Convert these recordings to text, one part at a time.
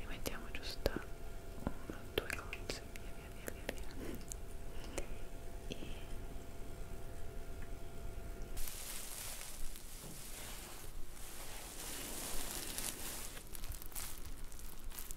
ne mettiamo giusto uno o due cose via via via via via e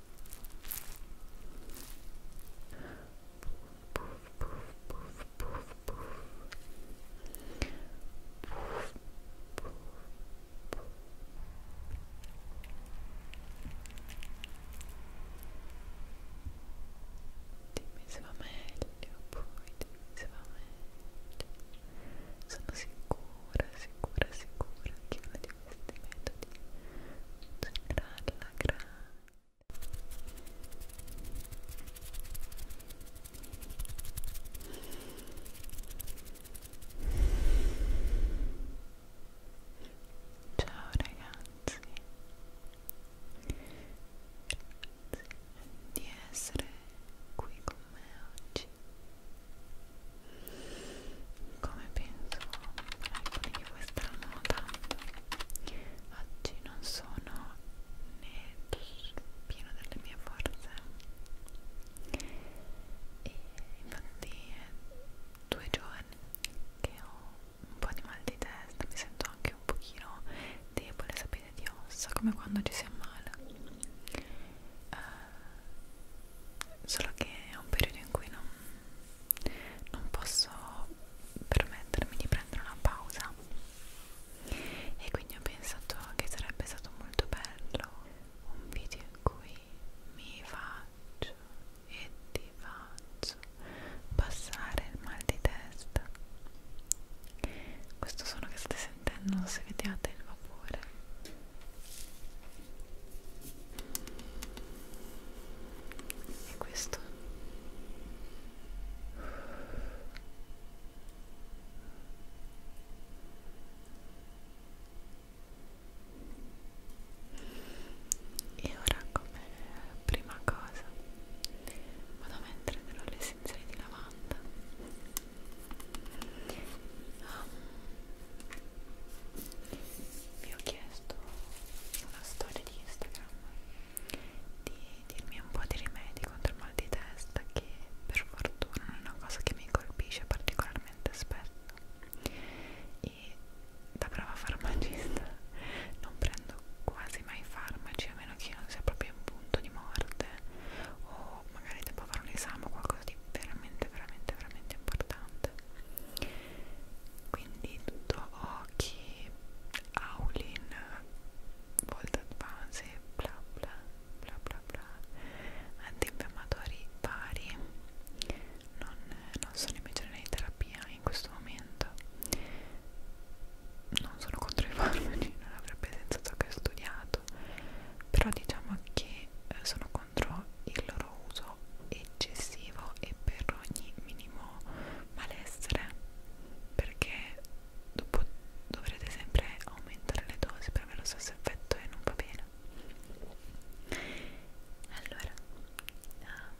Dimmi se va meglio, poi dimmi se va meglio. Sono sicura, sicura, sicura che una tutti questi metodi funzionerà alla grande Ciao ragazzi, grazie di essere qui con me oggi come penso alcuni di questa nota oggi non sono nel pieno delle mie forze e infatti è due giorni che ho un po' di mal di testa mi sento anche un pochino debole sapete di ossa come quando ci si ammala Uh, solo che è un periodo in cui non, non posso permettermi di prendere una pausa e quindi ho pensato che sarebbe stato molto bello un video in cui mi faccio e ti faccio passare il mal di testa questo suono che state sentendo non so se vediate il vapore e questo e ora come prima cosa vado a mettere dell'olio essenziale di lavanda um, vi ho chiesto una storia di Instagram di dirmi un po' di rimedi contro il mal di testa che per fortuna è una cosa che mi colpisce particolarmente spesso e da brava farmacista non prendo quasi mai farmaci a meno che io non sia proprio in punto di morte o magari devo fare un esame o qualcosa di veramente veramente veramente importante quindi tutto occhi Aulin Volt Advance bla bla bla bla bla antinfiammatori vari non, non sono invece in terapia in questo momento non sono contro i farmaci non avrebbe senso ciò che ho studiato però diciamo che eh, sono contro il loro uso eccessivo e per ogni minimo malessere perché dopo dovrete sempre aumentare le dosi per avere lo stesso effetto e non va bene allora uh,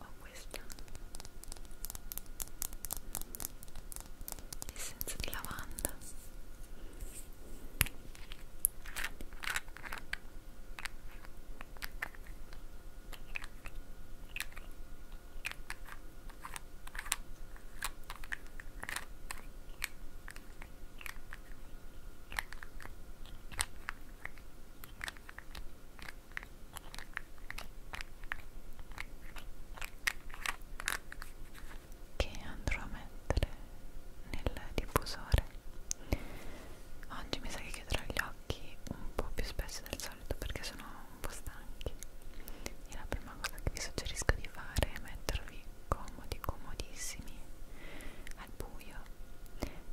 ho questa essenza di lavanda che andrò a mettere nel diffusore oggi mi sa che chiuderò gli occhi un po' più spesso del solito perché sono un po' stanchi e la prima cosa che vi suggerisco di fare è mettervi comodi, comodissimi al buio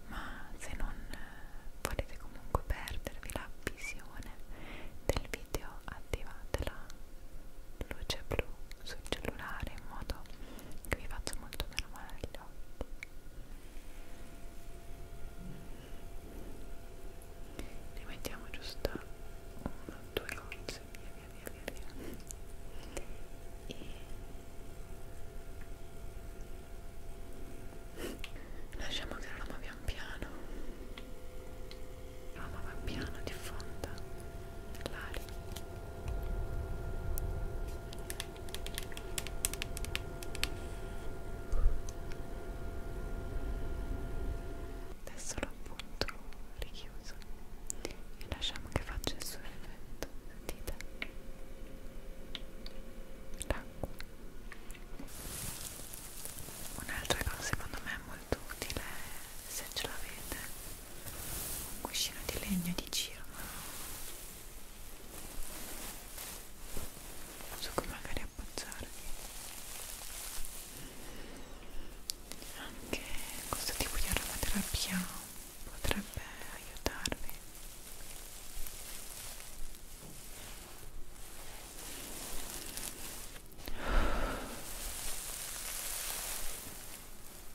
ma se non eh, volete comunque perdervi la visione del video attivatela luce blu sul cellulare in modo che vi faccia molto meno male agli occhi ne mettiamo giusto uno, due gocce via via via via via e lasciamo che l'aroma pian piano l'aroma pian piano diffonda l'aria Adesso l'ho appunto richiuso e lasciamo che faccia il suo effetto, sentite? L'acqua. Un'altra cosa secondo me è molto utile se ce l'avete un cuscino di legno di cirma su cui magari appoggiarvi anche questo tipo di aromaterapia potrebbe aiutarvi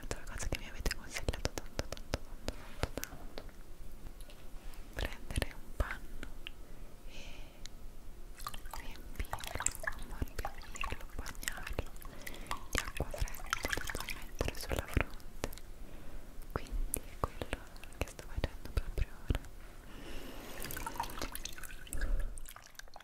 Altra cosa che mi avete consigliato tanto tanto tanto tanto tanto prendere un panno e riempirlo, morbirlo, bagnarlo di acqua fredda e poi mettere sulla fronte quindi è quello che sto facendo proprio ora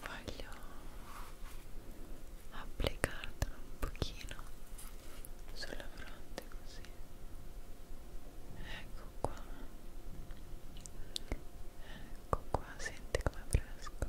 voglio applicartelo un pochino sulla fronte così ecco qua ecco qua senti come fresco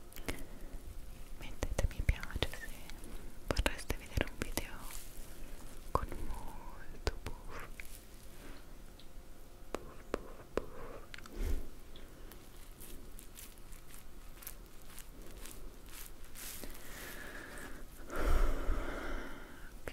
mettete mi piace se vorreste vedere un video con molto buff buff buff buff ok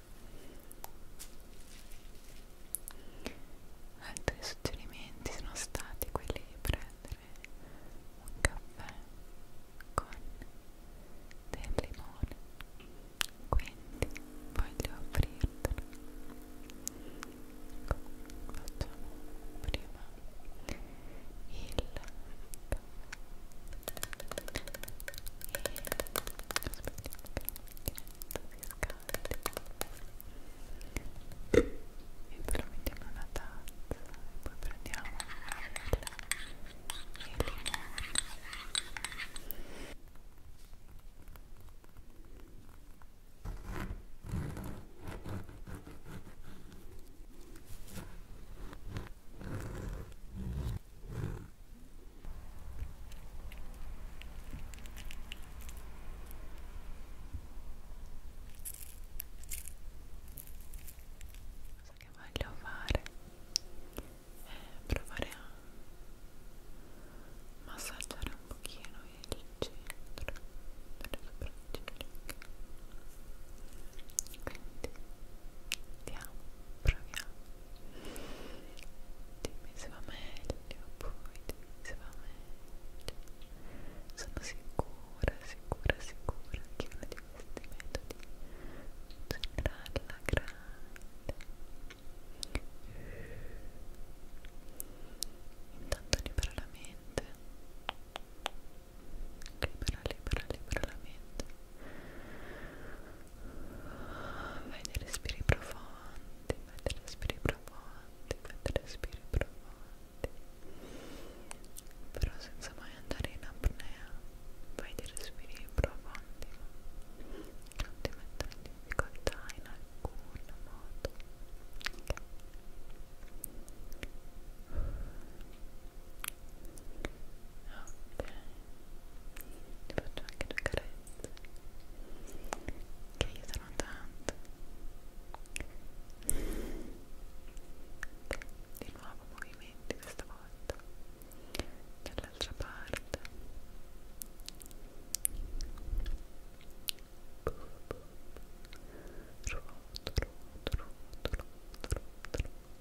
Altri suggerimenti sono stati quelli di prendere un caffè con del limone, quindi voglio offrirtelo. Ecco, facciamo prima il caffè. E aspettiamo che la macchinetta scaldi e poi lo mettiamo in una tazza e poi prendiamo il, il limone Ecco Cosa che voglio fare è eh, provare a massaggiare un pochino il centro delle sopracciglia quindi andiamo, proviamo dimmi se va meglio, poi dimmi se va meglio sono sicura, sicura, sicura che uno di questi metodi funzionerà alla grande intanto libera la mente libera, libera, libera la mente vai dei respiri profondi profondi, fate respiri profondi, fate respiri profondi però senza mai andare in apnea fai dei respiri profondi non ti mettono in difficoltà in alcun modo ok ok ti faccio anche due carezze che aiutano tanto di nuovo movimenti questa volta dall'altra parte Ruoto, ruoto, ruoto, ruoto, ruoto, ruoto.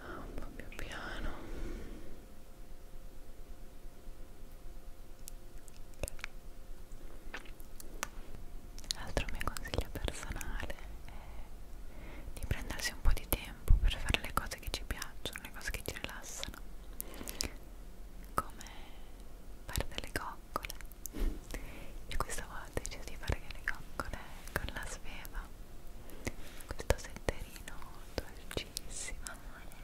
Ah, un po' più piano L'altro mio consiglio personale è di prendersi un po' di tempo per fare le cose che ci piacciono, le cose che ci rilassano, come fare delle coccole. Io questa volta ho deciso di fare delle coccole con la sveva, questo setterino dolcissimo, amore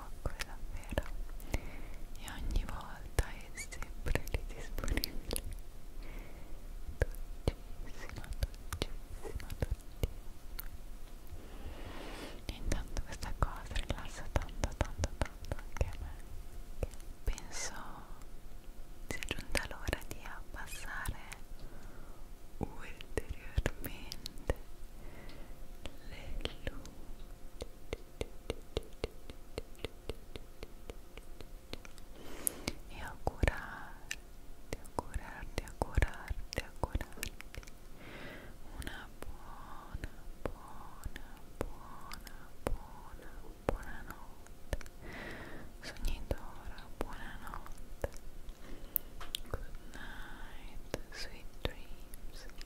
coccole davvero e ogni volta è sempre lì disponibile dolcissima, dolcissima, dolcissima e intanto questa cosa rilassa tanto, tanto, tanto anche a me penso sia giunta l'ora di abbassare ulteriormente le luci e augurarti, augurarti, augurarti, augurarti una buona, buona, buona, buona, buona notte sognidora, buona notte good night, sweet dreams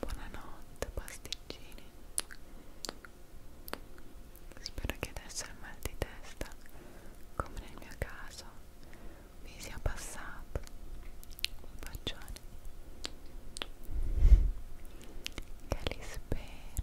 Buonanotte pasticcini Spero che adesso il mal di testa, come nel mio caso, mi sia passato Un bacione Che li spero